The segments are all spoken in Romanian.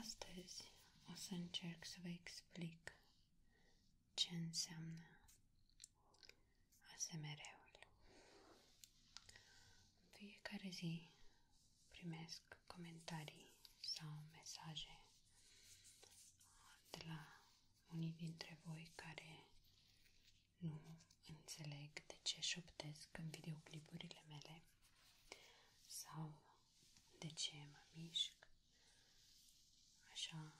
Astăzi o să încerc să vă explic ce înseamnă ASMR-ul. În fiecare zi primesc comentarii sau mesaje de la unii dintre voi care nu înțeleg de ce șoptesc în videoclipurile mele sau de ce mă mișc, așa,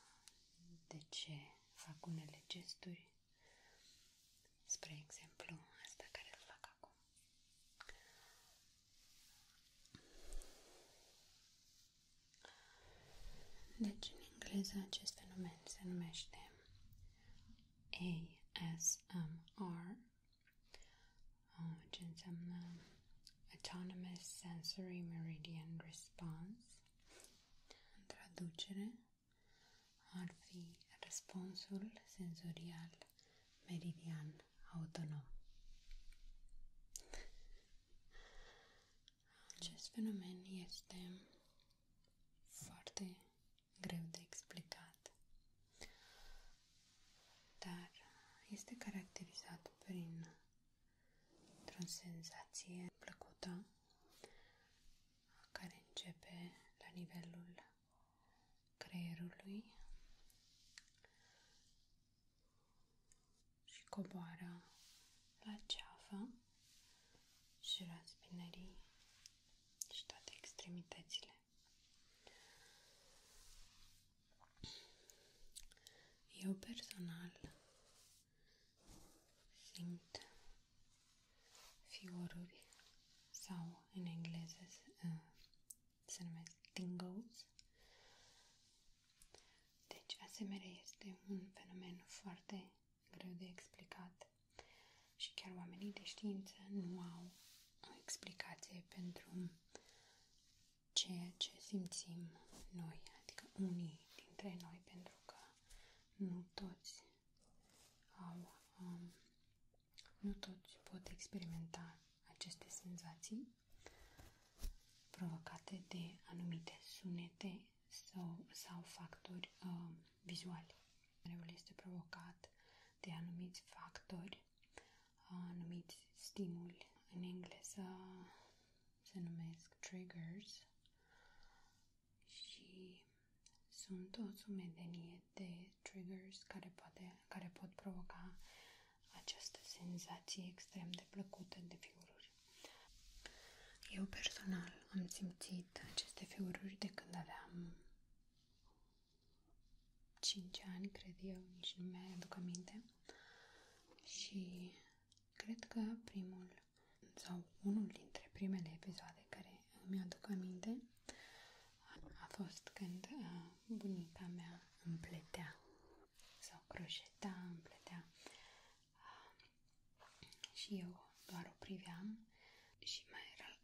de ce fac unele gesturi, spre exemplu asta care îl fac acum. Deci, în engleză, acest fenomen se numește ASMR Oh, ce înseamnă Autonomous Sensory Meridian Response. traducere ar fi răspunsul senzorial meridian autonom. Acest fenomen este foarte greu de explicat dar este caracterizat prin o senzație plăcută care începe la nivelul creierului și coboară la ceafă și la spinării și toate extremitățile. Eu personal simt fioruri sau în engleză uh, se numesc tingles. Deci, asemenea, este un fenomen foarte greu de explicat și chiar oamenii de știință nu au o explicație pentru ceea ce simțim noi, adică unii dintre noi, pentru că nu toți au, um, nu toți pot experimenta aceste senzații provocate de anumite sunete sau, sau factori uh, vizuali. Nervul este provocat de anumiți factori, anumiți stimuli. În engleză se numesc triggers și sunt o mulțime de triggers care, poate, care pot provoca această senzație extrem de plăcută de fioruri. Eu personal am simțit aceste fioruri de când aveam 5 ani, cred eu, nici nu mi-aduc aminte. Și cred că primul sau unul dintre primele episoade care mi-aduc aminte a fost când bunica mea împletea sau croșeta, împletea pletea și eu doar o priveam și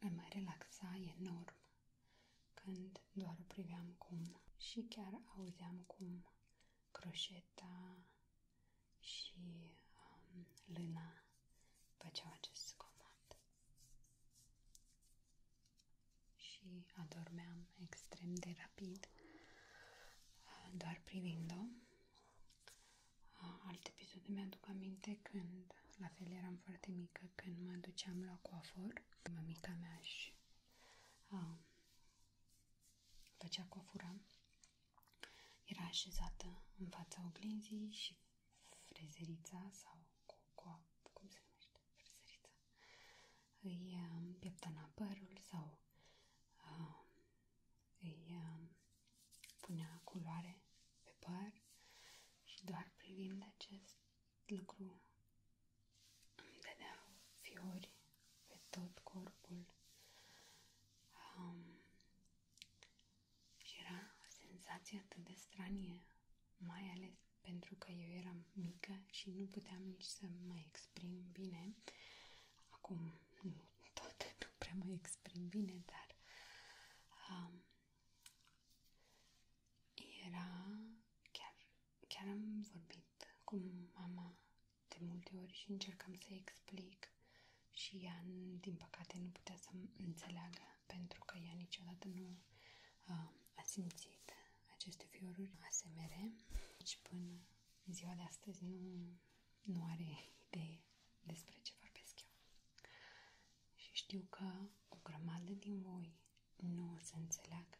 mă relaxa enorm când doar priveam cum și chiar auzeam cum croșeta și um, lâna făceau acest zgomot. Și adormeam extrem de rapid uh, doar privind-o. Uh, alt episod mi-aduc aminte când da, la fel eram foarte mică când mă duceam la coafor, mămica mea își a, făcea coafura, era așezată în fața oglinzii și frezerița sau cu, cu cum se numește, frezerița, îi pieptăna părul sau a, îi a, punea culoare pe păr și doar privind acest lucru îmi dădea fiori pe tot corpul um, și era o senzație atât de stranie, mai ales pentru că eu eram mică și nu puteam nici să mă exprim bine. Acum tot nu prea mă exprim bine, dar era chiar, chiar am vorbit cu mama de multe ori și încercam să explic și ea, din păcate, nu putea să înțeleagă pentru că ea niciodată nu uh, a simțit aceste fioruri ASMR și până ziua de astăzi nu, nu are idee despre ce vorbesc eu. Și știu că o grămadă din voi nu o să înțeleagă.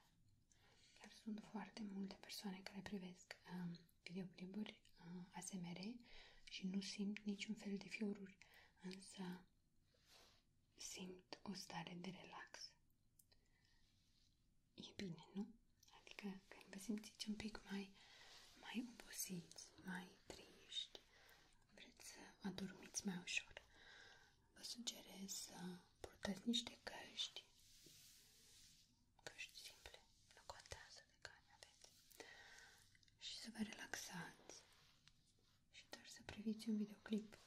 Chiar sunt foarte multe persoane care privesc uh, videoclipuri uh, ASMR și nu simt niciun fel de fioruri, însă simt o stare de relax. E bine, nu? Adică când vă simțiți un pic mai, mai obosiți, mai triști, vreți să adormiți mai ușor, vă sugerez să purtați niște căști, căști simple, nu contează de care aveți, și să vă relaxați și doar să priviți un videoclip.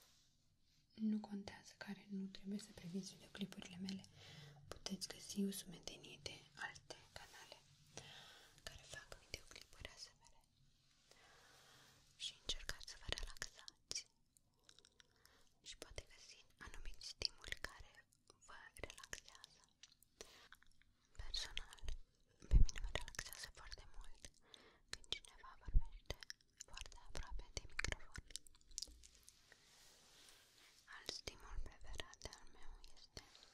Nu contează care, nu trebuie să priviți videoclipurile mele. Puteți găsi o sumedenie de alte canale mele care fac videoclipuri asemenea și încercați să vă relaxați și poate găsi anumiți stimuli care vă relaxează. Personal, pe mine mă relaxează foarte mult când cineva vorbește foarte aproape de microfon. Alt stimul preferat al meu este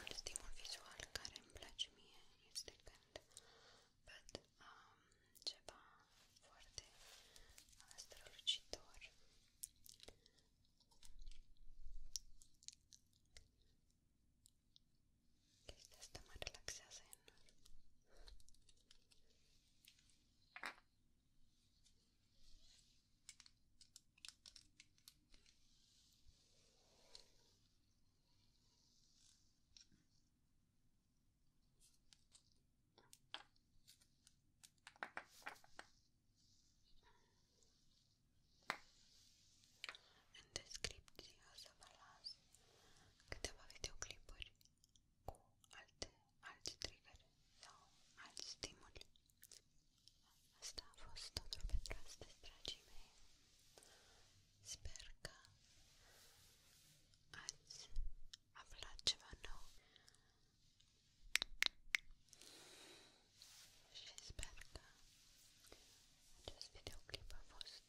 Ultimul vizual care îmi place mie este când văd um, ceva foarte strălucitor Chestia asta mă relaxează enorm En descripción se va las que te va a cu alte, alte trigări sau alți stimuli. Asta a fost totul pentru astăzi, dragii mei. Sper că ați aflat ceva nou și sper că acest videoclip a fost